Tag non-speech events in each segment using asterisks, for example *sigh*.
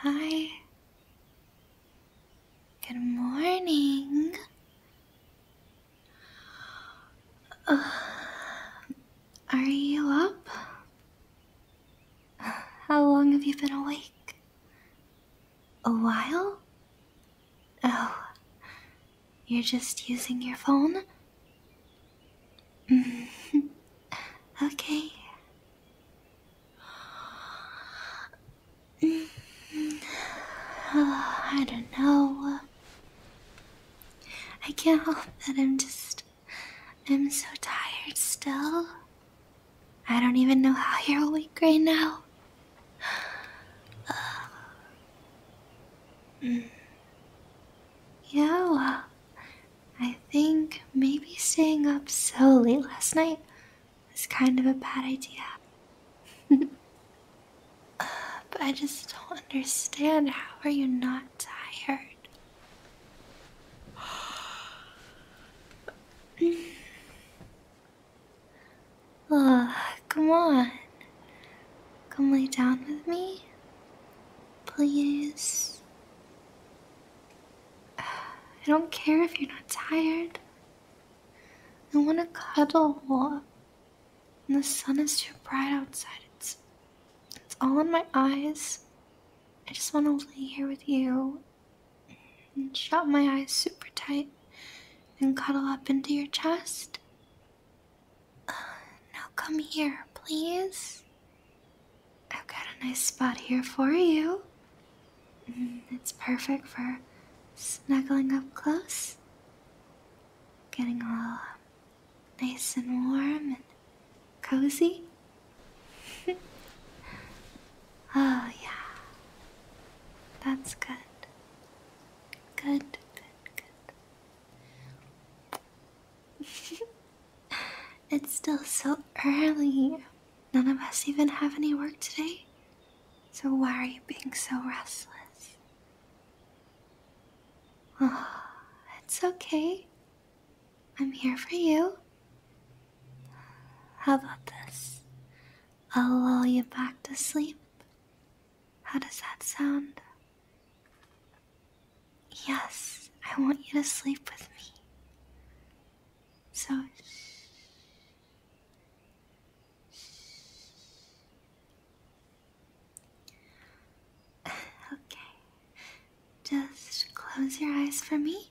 Hi. Good morning. Uh, are you up? How long have you been awake? A while? Oh, you're just using your phone? Mm-hmm. *laughs* okay. Mm-hmm. *sighs* I don't know. I can't help that I'm just. I'm so tired still. I don't even know how you're awake right now. *sighs* Um, mm. Yeah, I think maybe staying up so late last night was kind of a bad idea. *laughs* Uh, but I just don't understand. How are you not tired? *sighs* Mm come on. Come lay down with me. Please. I don't care if you're not tired. I want to cuddle. And the sun is too bright outside. It's, it's all in my eyes. I just want to lay here with you and shut my eyes super tight and cuddle up into your chest. Uh, now come here, please. I've got a nice spot here for you. Mm, it's perfect for snuggling up close, getting all um, nice and warm and cozy. *laughs* Oh, yeah. That's good. Good, good, good. *laughs* it's still so early. None of us even have any work today. So why are you being so restless? Oh, it's okay. I'm here for you. How about this? I'll lull you back to sleep. How does that sound? Yes, I want you to sleep with me. So, *sighs* okay, just close your eyes for me.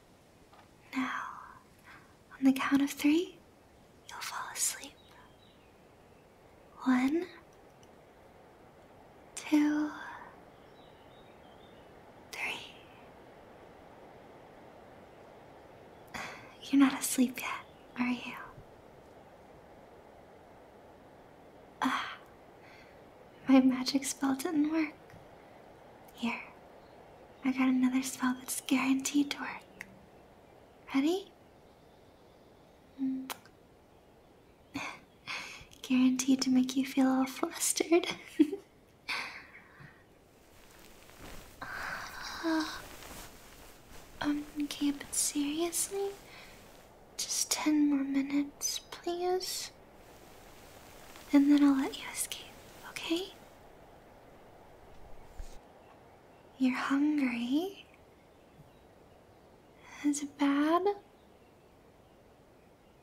Now, on the count of three, you'll fall asleep. One, two, three. You're not asleep yet, are you? Ah, my magic spell didn't work. Here, I got another spell that's guaranteed to work. Ready? Hmm. *laughs* guaranteed to make you feel all flustered. *laughs* Uh, okay, but seriously? Just ten more minutes, please. And then I'll let you escape, okay? You're hungry? Is it bad?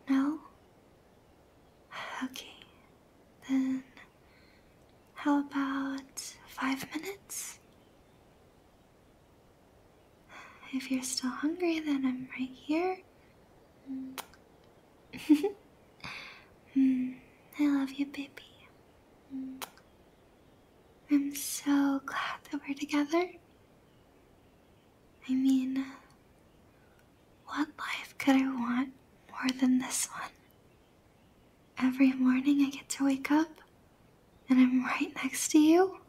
No? Okay, then how about five minutes? If you're still hungry, then I'm right here. *laughs* I love you, baby. I'm so glad that we're together. I mean, what life could I want more than this one? Every morning I get to wake up and I'm right next to you.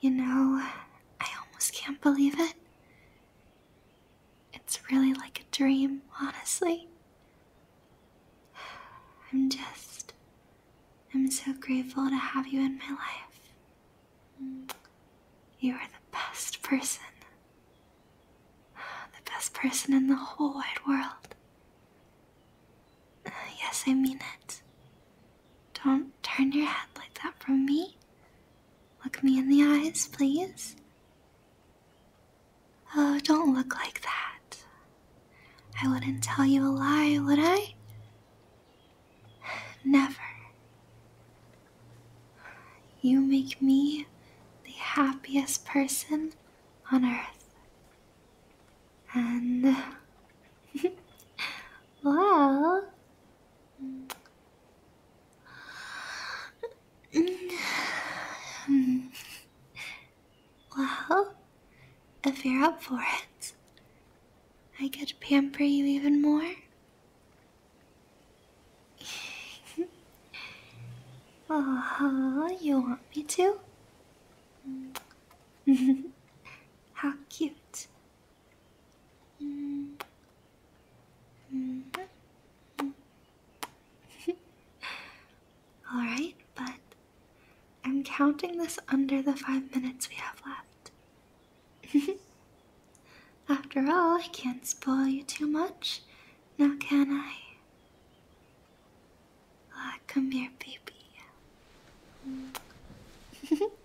You know, I almost can't believe it. It's really like a dream, honestly. I'm just. I'm so grateful to have you in my life. You are the best person. The best person in the whole wide world. yes, I mean it. Don't turn your head like that from me. Look me in the eyes, please. Oh, don't look like that. I wouldn't tell you a lie, would I? Never. You make me the happiest person on earth. And. *laughs* well. *sighs* well, if you're up for it, I could pamper you even more. oh, *laughs* you want me to? *laughs* How cute. Mm. Mm -hmm. Alright, but I'm counting this under the five minutes we have left. *laughs* After all, I can't spoil you too much, now can I? Ah, come here, baby. *laughs*